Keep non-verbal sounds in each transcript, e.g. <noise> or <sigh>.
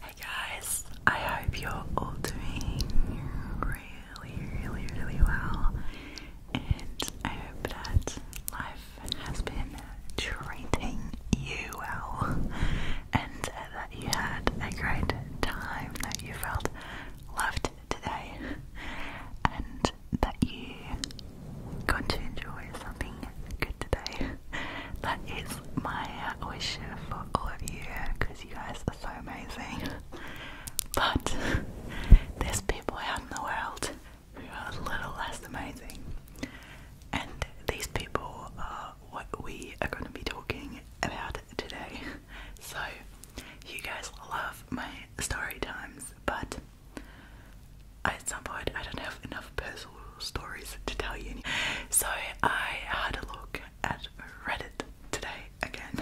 Hey guys, I hope you're all doing really, really, really well, and I hope that life has been treating you well, and that you had a great time, that you felt loved today, and that you got to enjoy something good today. <laughs> that is my wish for all of you because you guys are so amazing. <laughs> But there's people out in the world who are a little less amazing, and these people are what we are going to be talking about today. <laughs> So, you guys love my story times, but I at some point I don't have enough puzzles stories to tell you. So I had a look at Reddit today again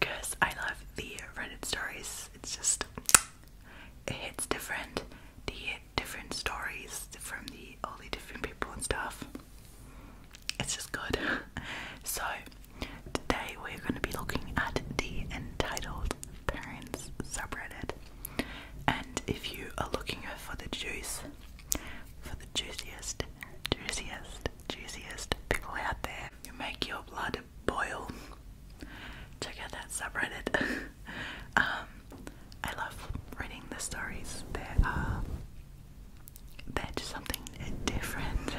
because <laughs> I love the Reddit stories. It's just it hits different. The different stories from the all the different people and stuff. It's just good. <laughs> So today we're going to be looking at the entitled parents subreddit. And if you are looking for the juice, for the juiciest, juiciest, juiciest pickle out there. You make your blood boil. Check out that subreddit. <laughs> um, I love reading the stories. There they're just something different.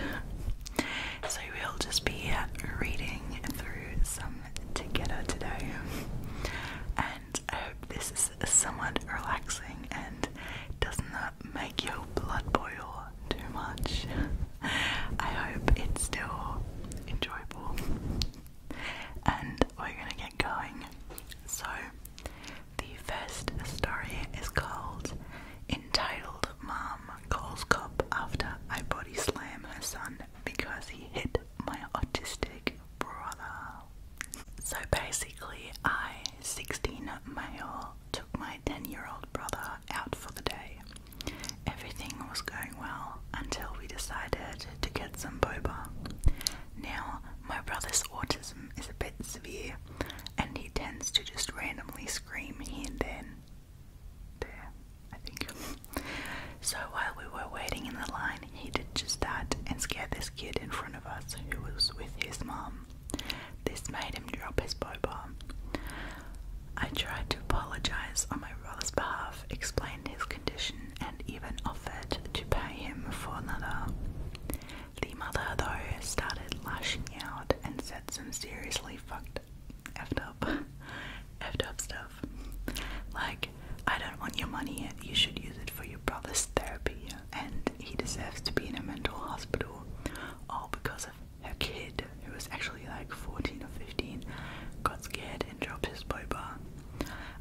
<laughs> so we'll just be reading through some together today. I hope this is somewhat relaxing and does not make your blood boil too much. <laughs> I hope it's still enjoyable. And we're gonna get going. So, the first story is called Entitled Mom Calls Cop After I Body Slam Her Son Because He Hit My Autistic so basically, I, 16 male, took my 10 year old brother out for the day. Everything was going well until we decided to get some boba. Now, my brother's autism is a bit severe and he tends to just randomly scream here and then. There, I think. So while we were waiting in the line, he did just that and scared this kid in front of us who was with his mom. This made him drop his boba. I tried to apologise on my brother's behalf, explain his condition, and even offered to pay him for another. The mother, though, started lashing out and said some seriously fucked effed up, <laughs> effed up stuff. Like, I don't want your money, you should use it for your brother's therapy, and he deserves to be in a mental hospital all because of her kid, who was actually like 14 or 15, got scared and dropped his bar.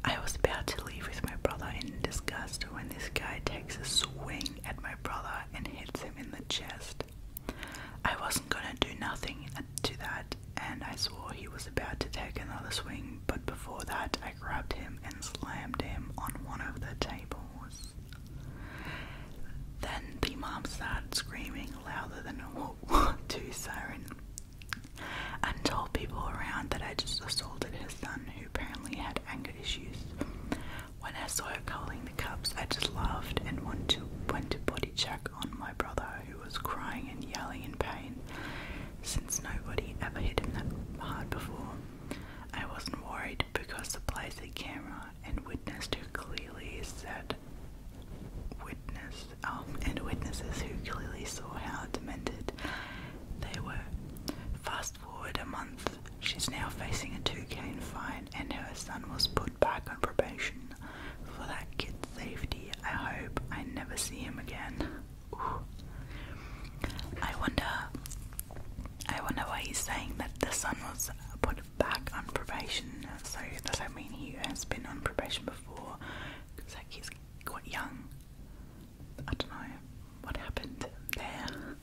I was about to leave with my brother in disgust when this guy takes a swing at my brother and hits him in the chest. I wasn't gonna do nothing to that and I swore he was about to take another swing, but before that, I grabbed him and slammed him on one of the tables. Then the mom started screaming louder than <laughs> to siren and told people around that I just assaulted her son, who apparently had anger issues. When I saw her calling the cops, I just laughed and went to went to body check on my brother, who was crying and yelling in pain, since nobody ever hit him that hard before. I wasn't worried because the place a camera and witnessed who clearly said witness um, and witnesses who clearly saw how demented they were. Fast forward a month, she's now facing a 2k fine and her son was put back on probation. For that kid's safety, I hope I never see him again. I wonder. I wonder why he's saying that the son was put back on probation. So does that mean he has been on probation before? Because like he's quite young. I don't know what happened there.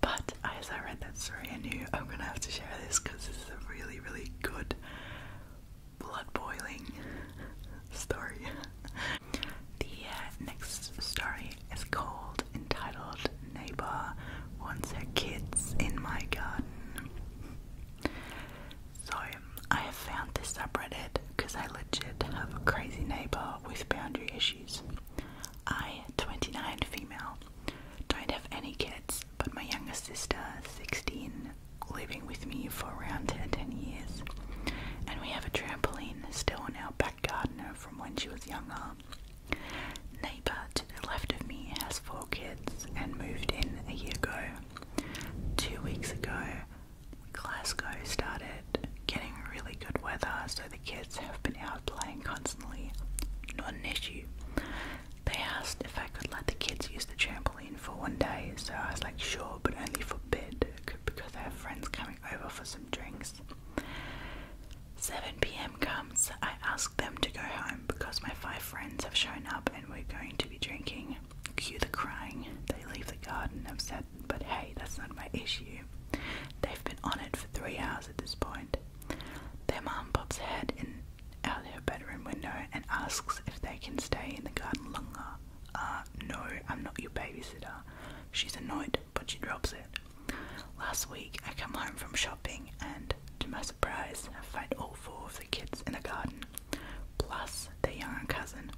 But as I read that story, I knew I'm gonna have to share this because this is a really, really good blood boiling <laughs> story. The uh, next story is called Entitled Neighbor Wants Her Kids in My Garden. So, I have found this subreddit because I legit have a crazy neighbor with boundary issues. I, 29 female, don't have any kids, but my younger sister, 16, living with me for around 10 years, and we have a trampoline still in our back garden from when she was younger. Neighbour to the left of me has four kids and moved in a year ago. Two weeks ago, Glasgow started getting really good weather, so the kids have been out playing constantly. Not an issue. They asked if I could let the kids use the trampoline for one day, so I was like, sure, but only for bid because I have friends coming over for some drinks. 7 pm comes. I ask them to go home because my five friends have shown up and we're going to be drinking. Cue the crying. They leave the garden upset, but hey, that's not my issue. They've been on it for three hours at this point. Their mum pops head in out her bedroom window and asks if they can stay in the garden longer. Uh, no, I'm not your babysitter. She's annoyed, but she drops it. Last week, I come home from shopping and, to my surprise, I find all four of the kids in the garden, plus their young cousin.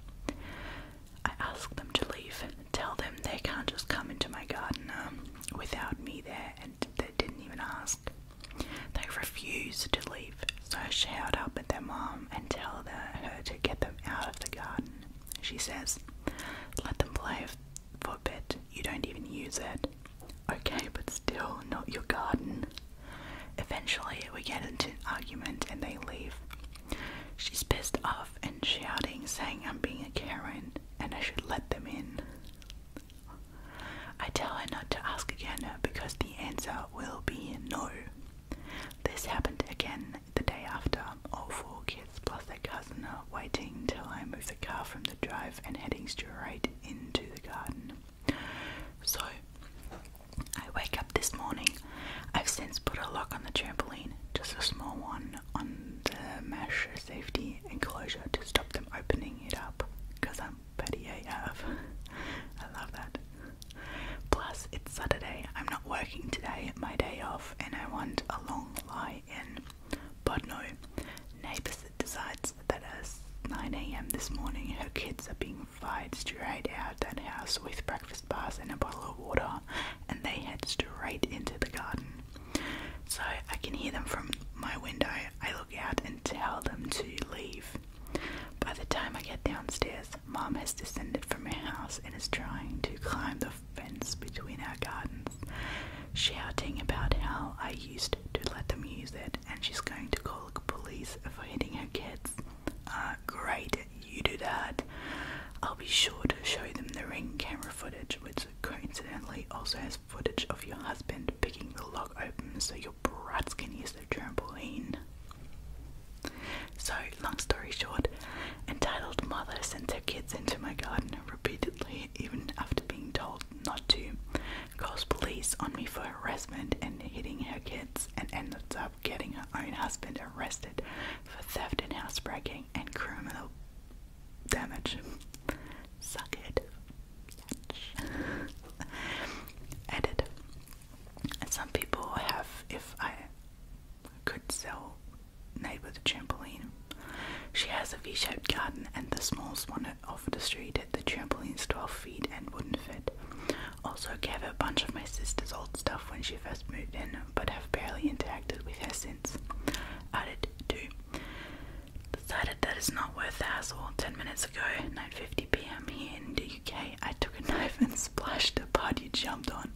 I ask them to leave, tell them they can't just come into my garden um, without me there, and they didn't even ask. They refuse to leave. So I shout up at their mom and tell her to get them out of the garden. She says, Let them play for a bit, you don't even use it. Okay, but still, not your garden. Eventually, we get into an argument and they leave. She's pissed off and shouting, saying I'm being a Karen and I should let them in. I tell her not to ask again because the answer will be no. This happened again the day after, all four kids plus their cousin are waiting till I move the car from the drive and heading straight into the garden. So, I wake up this morning. I've since put a lock on the trampoline, just a small one on the mesh safety enclosure to stop them opening it up because I'm petty AF. I love that. Plus, it's Saturday. I'm not working today, my day off, and I want a long lie in. But no, Neighbours decides that as 9am this morning, her kids are being fired straight out that house with breakfast bars and a bottle of water, and they head straight into the garden. So I can hear them from my window. I look out and tell them to leave. By the time I get downstairs, Mom has descended from her house and is trying to climb the fence between our gardens, shouting about how I used to let them use it and she's going to call the police for hitting her kids. Ah, great, you do that. I'll be sure to show them the ring camera footage, which coincidentally also has footage of your husband picking the lock open so you'll your brats can use their So, long story short, entitled mother sends her kids into my garden repeatedly, even after being told not to, calls police on me for harassment and hitting her kids, and ends up getting her own husband arrested for theft and housebreaking and criminal damage. Suck it. <laughs> Edit. And some people have, if I could sell Neighbor the trampoline, she has a V shaped garden, and the smallest one off the street at the trampoline's 12 feet and wouldn't fit. Also, gave her a bunch of my sister's old stuff when she first moved in, but have barely interacted with her since. Added to. Decided that it's not worth the hassle 10 minutes ago, 9.50 pm here in the UK, I took a <laughs> knife and splashed the part you jumped on.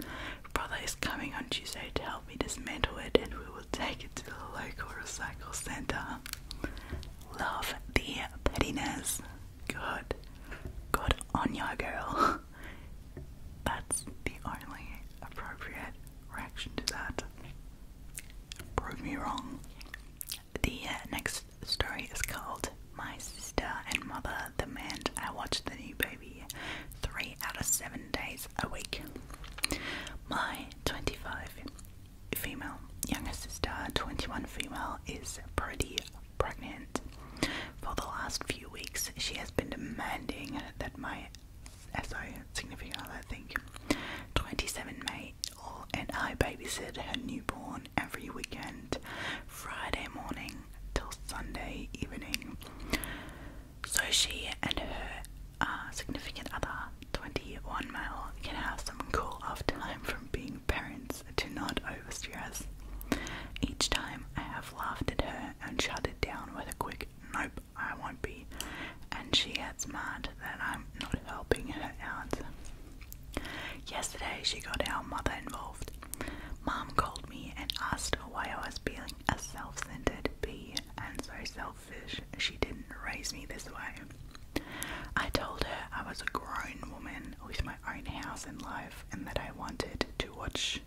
Brother is coming on Tuesday to help me dismantle it and we will take it to the local recycle centre. Love the pettiness. Good. Good on your girl. <laughs> That's the only appropriate reaction to that. Prove me wrong. The uh, next story is called My Sister and Mother The man I Watch the New Baby Three Out of Seven Days a Week. My 25 female younger sister, 21 female, is pretty pregnant. For the last few weeks, she has been demanding that my SO, significant other, I think, 27 May, and I babysit her newborn every weekend, Friday morning till Sunday evening. So she and her uh, significant other, 21 male, can have some cool off time from being parents to not overstress. Each time I have laughed at her and shut it down with a quick nope, I won't be, and she gets mad that I'm not helping her out. Yesterday, she got our mother involved. Mom called me and asked why I was being a self centered bee and so selfish she didn't raise me this way. I told her I was a grown woman with my own house and life and that I wanted to watch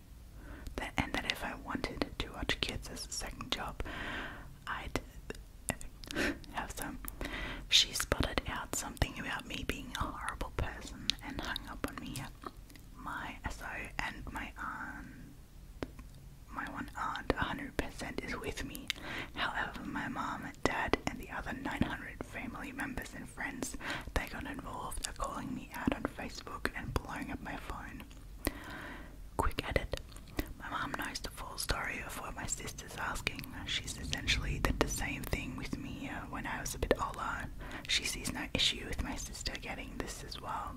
that and that if I wanted to watch kids as a second job, I'd have some. She spotted out something about me being a horrible person and hung up on me. My SO and my aunt, my one aunt, 100% is with me. However, my mum, dad, and the other 900 family members and friends they got involved are calling me out on Facebook and blowing up my phone. Quick edit. My mum knows the full story of what my sister is asking. She's essentially did the same thing with me uh, when I was a bit older. She sees no issue with my sister getting this as well.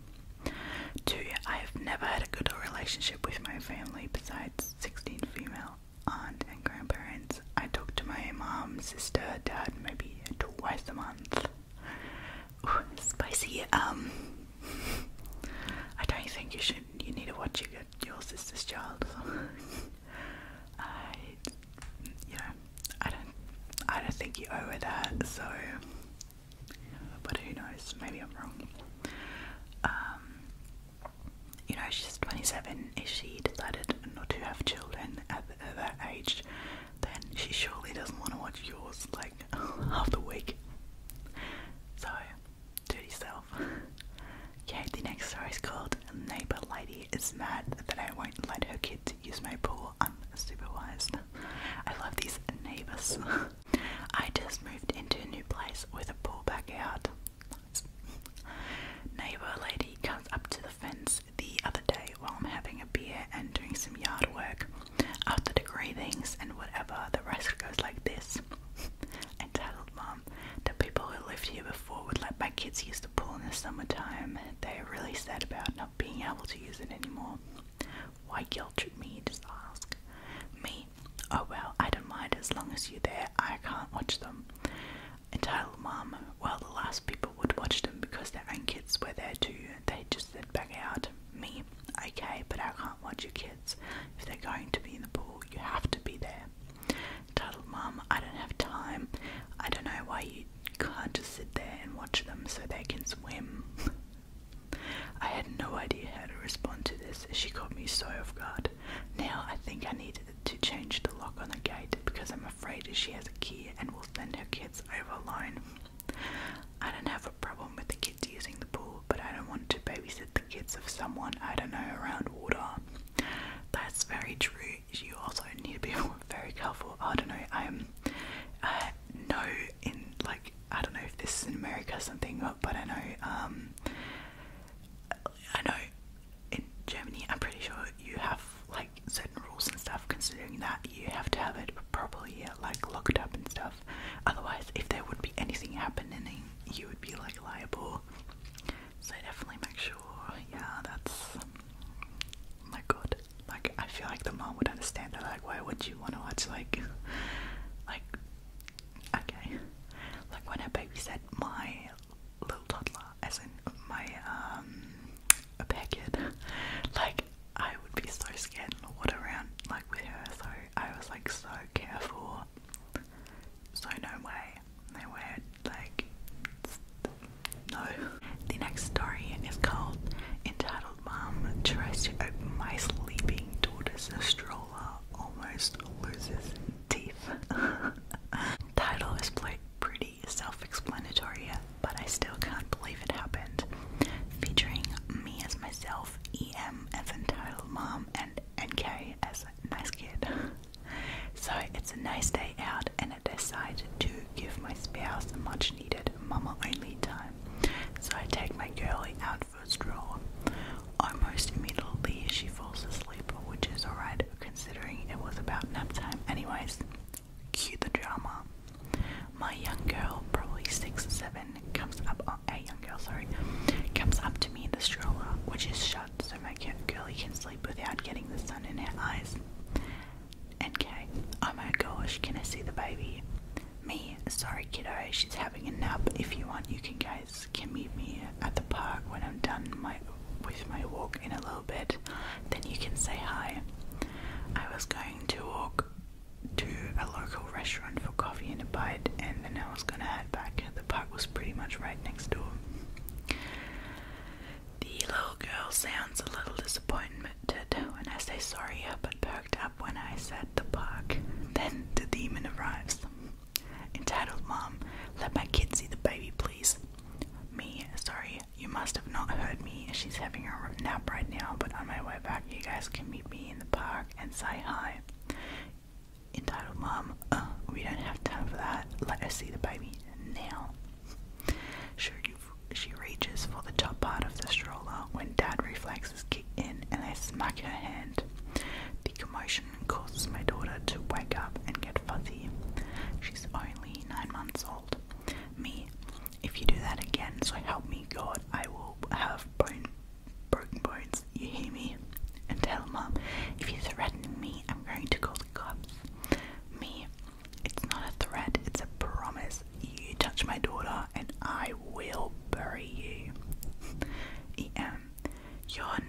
Two, I have never had a good relationship with my family besides 16 female aunt and grandparents. I talk to my mom, sister, dad maybe twice a month. spicy. Um, <laughs> I don't think you should. You need to watch your your sister's child. <laughs> I, you know, I don't, I don't think you owe her that. So, but who knows? Maybe I'm wrong. Um, you know, she's 27. If she decided not to have children at, that age, then she surely doesn't want to watch yours like <laughs> half the week. So Dirty self. Okay, the next story is called Neighbor Lady is Mad That I Won't Let Her Kids Use My Pool Unsupervised. I love these neighbors. <laughs> I just moved into a new place with a pool backyard. <laughs> Nice. Neighbor lady comes up to the fence the other day while I'm having a beer and doing some yard work. After degreethings and whatever, the rest goes like this kids. I tattled mom. The people who lived here before would let my kids use the pool in the summertime. They are really sad about not being able to use it anymore. Why guilt trip me? Just ask. Me? Oh well, I don't mind as long as you're there. I can't watch them. Entitled mom. Well, the last people would watch them because their own kids were there too. They just said back out. Me? Okay, but I can't watch your kids. If they're going to be in the pool, you have to be there. Titled Mum, I don't have time. I don't know why you can't just sit there and watch them so they can swim. <laughs> I had no idea how to respond to this she caught me so off guard. Now I think I need to change the lock on the gate because I'm afraid she has a key and will send her kids over alone. I don't have a problem with the kids using the pool, but I don't want to babysit them kids of someone, I don't know, around water. That's very true. You also need to be <laughs> very careful. I don't know, I'm I uh, know in like I don't know if this is in America or something, but I know um, I know in Germany I'm pretty sure you have like certain rules and stuff considering that you have to have it properly like locked up and stuff. Otherwise if there would be anything happening you would be like liable. So definitely make sure, yeah, that's my god. Like I feel like the mom would understand that. Like, why would you want to watch like, like, okay, like when her baby said my little toddler, as in my um, a packet, like I would be so scared and what around like with her. So I was like so careful. So no way no. The next story is called Entitled Mom Tries to Open My Sleeping Daughter's Stroller Almost Loses Teeth. <laughs> Title is pretty self explanatory, but I still can't believe it happened. Featuring me as myself, EM as Entitled Mom, and NK as Nice Kid. <laughs> So it's a nice day out, and I decide to give my spouse a much needed mama only time. So I take my girly out for a stroll. Almost immediately, she falls asleep, which is alright considering it was about nap time. Anyways, cue the drama. My young girl, probably six seven, comes up. Oh, a young girl, sorry, comes up to me in the stroller, which is shut so my girlie can sleep without getting the sun in her eyes. Okay. oh my gosh, can I see the baby? Me, sorry kiddo, she's having a nap. If you want, you can guys can meet me at the park when I'm done my with my walk in a little bit. Then you can say hi. I was going to walk to a local restaurant for coffee and a bite, and then I was gonna the park was pretty much right next door. The little girl sounds a little disappointed when I say sorry, but perked up when I said the park. Then the demon arrives. Entitled Mom, let my kids see the baby, please. Me, sorry, you must have not heard me. She's having a nap right now, but on my way back, you guys can meet me in the park and say hi entitled mom, uh, we don't have time for that. Let us see the baby now. Sure, she reaches for the top part of the stroller when dad reflexes kick in and they smack her hand. The commotion causes my daughter to wake up and get fuzzy. She's only nine months old. Me, if you do that again, so help me God, I will have brain broken bones, you hear me? And tell mom if you threaten me, I'm going to call the cops. Me, it's not a threat, it's a promise. You touch my daughter and I will bury you. <laughs> em, yon.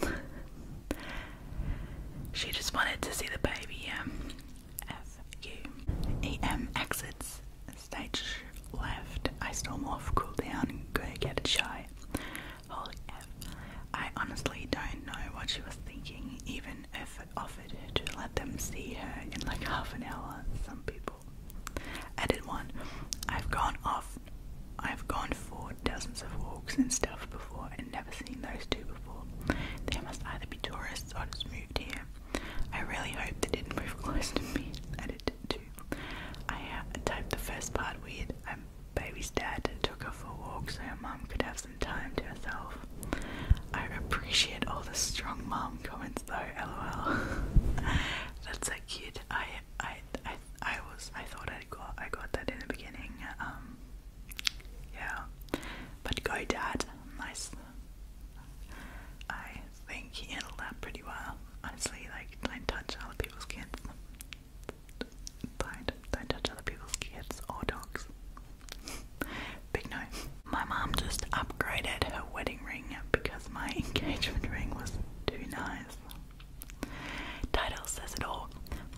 <laughs> she just wanted to see the baby, um, F exits stage left. I storm off, cool down, go get a chai right? Holy F. I honestly don't know what she was thinking, even if it offered to let them see her in like half an hour. Some people. Edit one. I've gone off. I've gone for dozens of walks and stuff before and never seen those two before. They must either be tourists or just moved here. I really hope they didn't move close to me. Edit I uh, typed the first part weird. baby's dad took her for a walk so her mum could have some time to herself. I appreciate all the strong mom comments though, lol. <laughs> That's so cute. I I I was I thought I got I got that in the beginning. Um yeah. But go dad, nice. I think he handled that pretty well honestly, like, I touch other people's kids. do don't touch other people's kids or dogs. Big no. My mom just upgraded her wedding ring because my <laughs> engagement ring was too nice. Title says it all.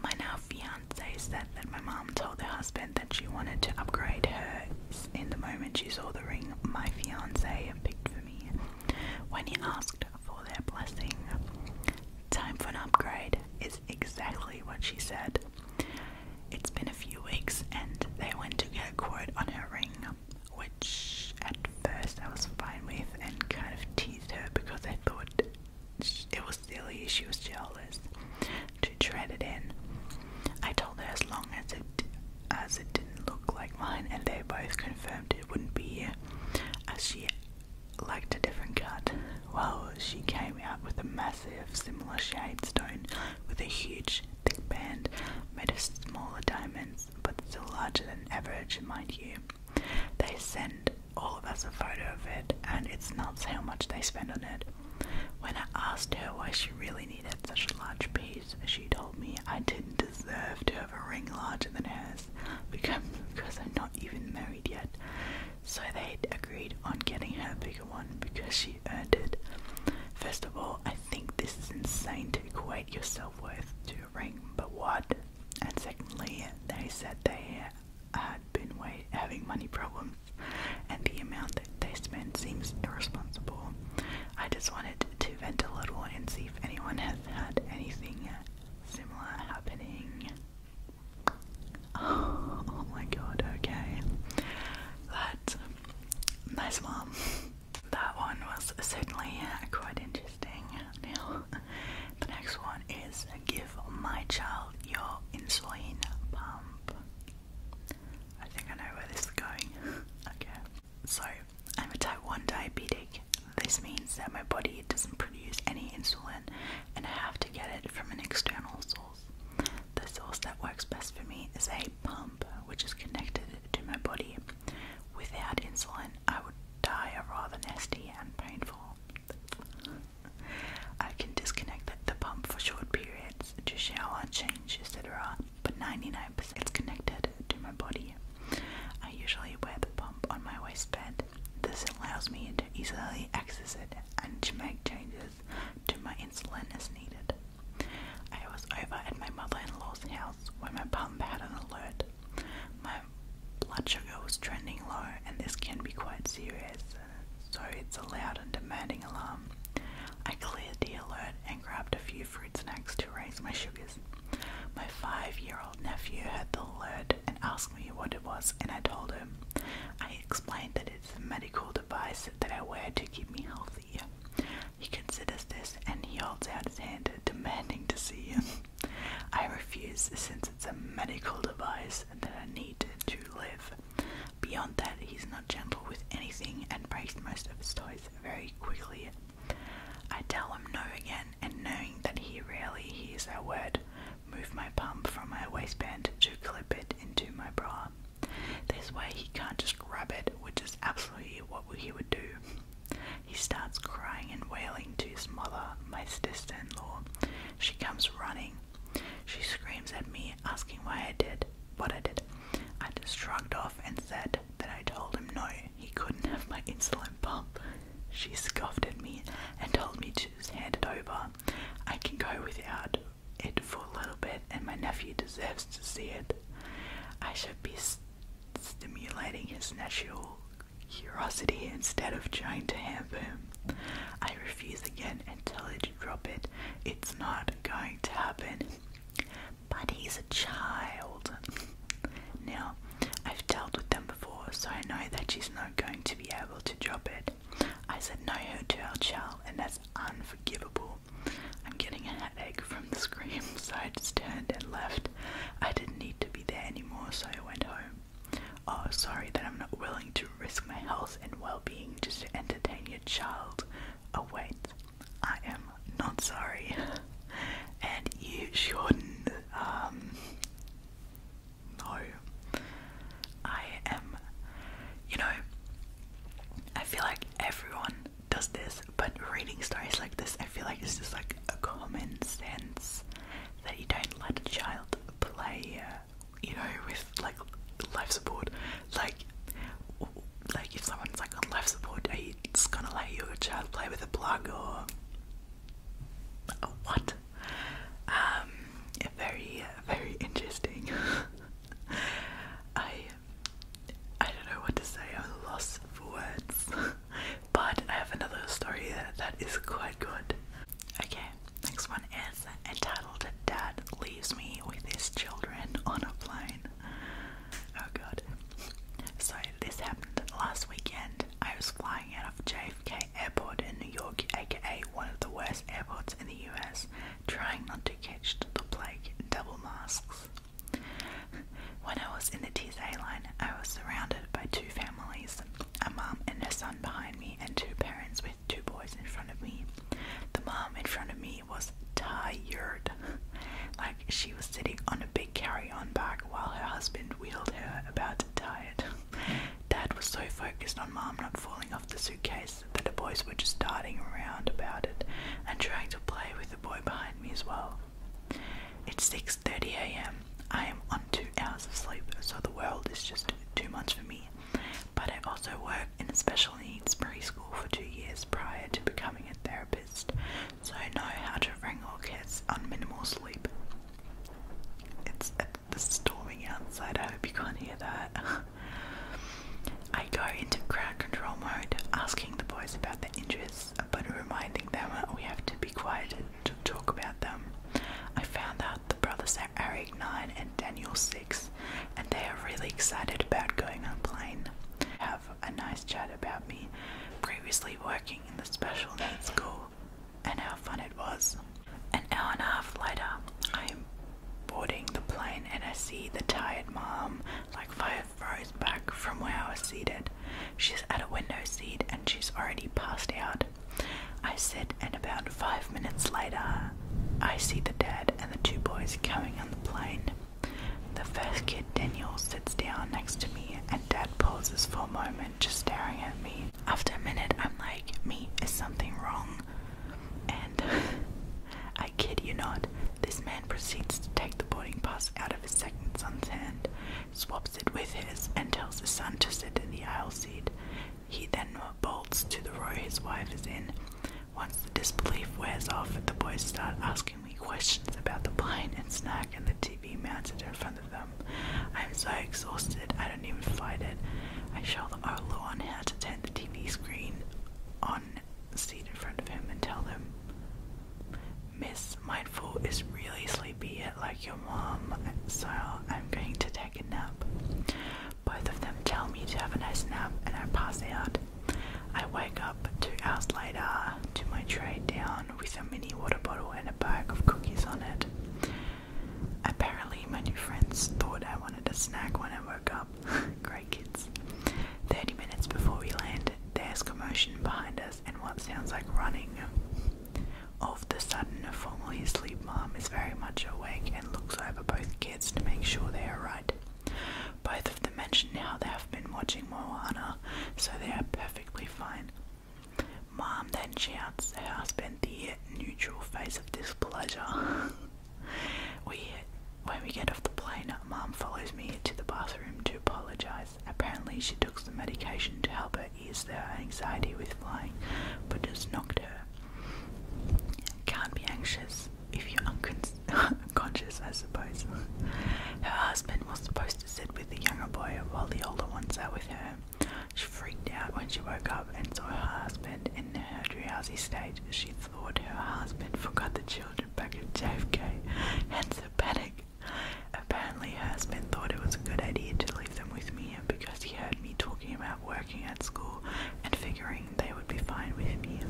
My now fiance said that my mom told her husband that she wanted to upgrade hers in the moment she saw the ring my fiance picked for me. When he asked for their blessing. Time for an upgrade is exactly what she said. It's been a few weeks and they went to get a quote on her ring, which at first I was fine with and kind of teased her because I thought it was silly, she was jealous to tread it in. I told her as long as it as it didn't look like mine and they both confirmed it wouldn't be as she liked a different cut. Well, she came out with a massive, similar shaped stone with a huge, thick band made of smaller diamonds, but still larger than average, mind you. They send all of us a photo of it, and it's nuts how much they spend on it. When I asked her why she really needed such a large piece, she told me I didn't deserve to have a ring larger than hers because, I'm not even married yet. So they agreed on getting her a bigger one because she earned it. First of all, I think this is insane to equate your self worth to a ring, but what? And secondly, they said they had been wait, having money problems, and the amount that they spend seems irresponsible. I just wanted to to a little and see if anyone has had anything similar happening. <laughs> Oh, my god, okay. That nice mom. That one was certainly quite interesting. Now, <laughs> the next one is give my child your insulin pump. I think I know where this is going. <laughs> okay. So, I'm a type 1 diabetic. This means that my body doesn't produce any insulin and I have to get it from an external source. The source that works best for me is a pump which is connected to my body. Without insulin, I would die a rather nasty and painful. I can disconnect the pump for short periods to shower, change, etc but 99% it's connected to my body. I usually wear the pump on my waistband. This allows me to easily access it and to make changes to my insulin as needed. I was over at my mother-in-law's house when my pump had an alert. My blood sugar was trending low and this can be quite serious, so it's a loud and demanding alarm. I cleared the alert and grabbed a few fruit snacks to raise my sugars. My five year old nephew heard the lid and asked me what it was, and I told him. I explained that it's a medical device that I wear to keep me healthy. He considers this and he holds out his hand, demanding to see him. I refuse since it's a medical device that I need to live. Beyond that, he's not gentle with anything and breaks most of his toys very quickly I tell him no again, and knowing that he rarely hears our word, move my pump from my waistband to clip it into my bra. This way he can't just grab it, which is absolutely what he would do. He starts crying and wailing to his mother, my sister-in-law. She comes running. She screams at me, asking why I did what I did. I just shrugged off and said, mad that I told him no, he couldn't have my insulin pump. She scoffed at me and told me to just hand it over. I can go without it for a little bit, and my nephew deserves to see it. I should be stimulating his natural curiosity instead of trying to hamper him. I refuse again and tell her to drop it. It's not going to happen. But he's a child. now, I've dealt with them before, so I know that she's not going to be able to drop it. I said no to our child, and that's unforgivable. I'm getting a headache from the <laughs> scream, so I just turned and left. I didn't need to be there anymore, so I went home. Oh, sorry that I'm not willing to risk my health and well being just to entertain your child. Oh, wait, I am not sorry, <laughs> and you shouldn't. Um, no, I am. You know, I feel like everyone does this, but reading stories like this, I feel like it's just like a common sense that you don't let a child play. Uh, you know, with like life support, like like if someone's like on life support, are you just gonna let your child play with a plug or, what? Um, very, very interesting. <laughs> I, I don't know what to say. I'm lost for words. <laughs> but I have another story that is quite good. Okay, next one is entitled "Dad Leaves Me with His Children on a Plane." Oh god. So this happened last weekend. I was flying out of JFK Airport in New York, aka one of the worst airports in the US, trying not to catch the plague double masks. When I was in the TSA line, I was surrounded by two families, a mom and her son behind me, and two parents with two boys in front of me. The mom in front of me was tired. Like she was sitting on a big carry on bag while her husband wheeled her about tired. Dad was so focused on Mom not falling off the suitcase that the boys were just darting around about it and trying to play with the boy behind me as well. It's 6:30 a.m. I am on two hours of sleep, so the world is just too much for me. But I also worked in a special needs preschool for two years prior to becoming a therapist, so I know how to wrangle cats on sleep. It's, it's uh, storming outside, I hope you can't hear that. <laughs> I go into crowd control mode, asking the boys about their interests, but reminding them we have to be quiet to talk about them. I found out the brothers are Eric 9 and Daniel 6, and they are really excited about going on plane a nice chat about me previously working in the special needs school and how fun it was. An hour and a half later, I am boarding the plane and I see the tired mom like five rows back from where I was seated. She's at a window seat and she's already passed out. I sit, and about five minutes later, I see the dad and the two boys coming on the plane. The first kid, Daniel, sits down next to me and dad pauses for a moment, just staring at me. After a minute, I'm like, me, is something wrong? And <laughs> I kid you not, this man proceeds to take the boarding pass out of his second son's hand, swaps it with his, and tells his son to sit in the aisle seat. He then bolts to the row his wife is in. Once the disbelief wears off, the boys start asking asking questions about the pine and snack and the TV mounted in front of them. I am so exhausted, I don't even fight it. I show the Olo on how to turn the TV screen on the seat in front of him and tell him Miss Mindful is really sleepy yet like your mom, so I'm going to take a nap. Both of them tell me to have a nice nap and I pass out. I wake up two hours later to my tray down with a mini water bottle and a bag of cookies on it. Apparently, my new friends thought I wanted a snack when I woke up. <laughs> Great kids. 30 minutes before we land, there's commotion behind us and what sounds like running. All of the sudden, a formally asleep mom is very much awake and looks over both kids to make sure they are right. Both of them mention how they have been watching Moana, so they are perfectly fine. Mom then shouts how I spent the neutral phase of displeasure. <laughs> we, when we get off the plane, Mom follows me to the bathroom to apologise. Apparently, she took some medication to help her ease her anxiety with flying, but just knocked her. Can't be anxious if you're unconscious, <laughs> I suppose. Her husband was supposed to sit with the younger boy while the older ones sat with her. She freaked out when she woke up and saw her husband in her drowsy stage. She thought her husband forgot the children back in JFK, hence her panic. Apparently, her husband thought it was a good idea to leave them with me because he heard me talking about working at school and figuring they would be fine with me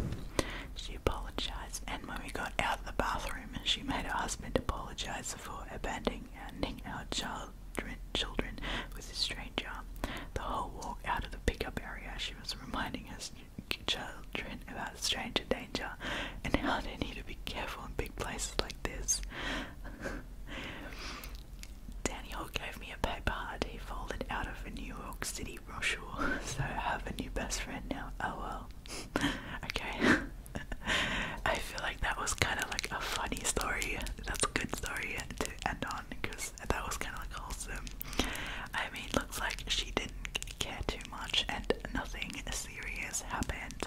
apologized, and when we got out of the bathroom, and she made her husband apologize for abandoning our children, children with a stranger. The whole walk out of the pickup area, she was reminding us children about stranger danger and how they need to be careful in big places like this. <laughs> Daniel gave me a paper that he folded out of a New York City Lee <laughs> so I have a new best friend now. Oh well. <laughs> okay. <laughs> I feel like that was kind of like a funny story. That's a good story to end on because that was kind of like wholesome. I mean, looks like she didn't care too much and nothing serious happened.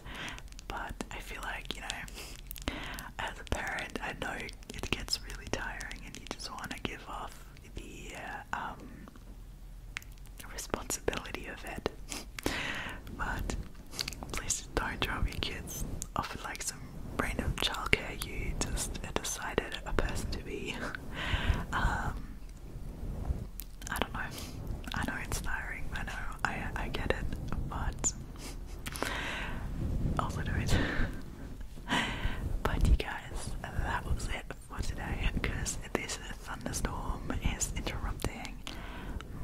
But I feel like, you know, as a parent, I know it gets really tiring and you just want to give off the, uh, um, responsibility of it. but please don't drop your kids off like some random childcare you just decided a person to be. um, I don't know. I know it's I know. I I get it, but also do it. <laughs> but you guys, that was it for today because this thunderstorm is interrupting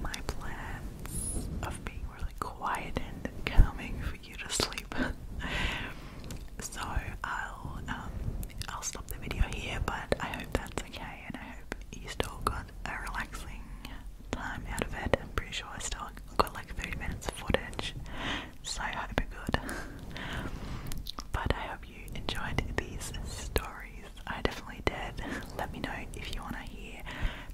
my plans of being really quiet and calming for you to sleep. <laughs> so I'll um, I'll stop the video here, but I hope that's okay, and I hope you still got a relaxing time out of it. I'm pretty sure I still got like 30 minutes of footage, so I hope are good. <laughs> but I hope you enjoyed these stories. I definitely did. <laughs> Let me know if you want to hear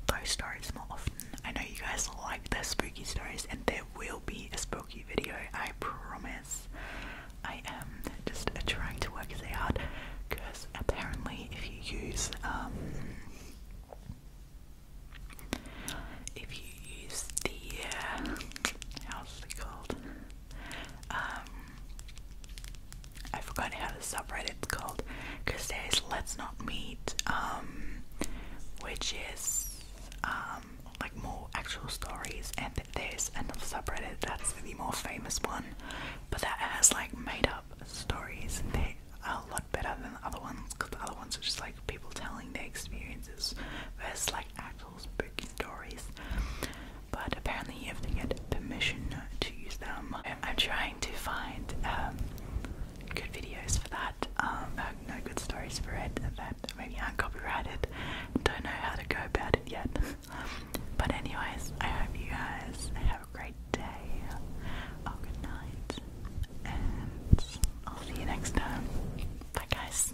those stories more often. I know you guys like the spooky stories, and there will be a spooky video, I promise. I am just trying to work it out because apparently, if you use, um, if you use the, uh, how's it called? Um, I forgot how the It's called because there is Let's Not Meet, um, which is um, like more actual stories, and there's another subreddit that's the more famous one, but that has like made up stories, that are a lot better than the other ones because the other ones are just like people telling their experiences versus like actual little spooky stories, but apparently you have to get permission to use them. I'm trying to find um, good videos for that, um, no good stories for it that maybe aren't copyrighted. Don't know how to go about it yet. <laughs> But anyways, I hope you guys have a great day or oh, good night, and I'll see you next time. Bye guys.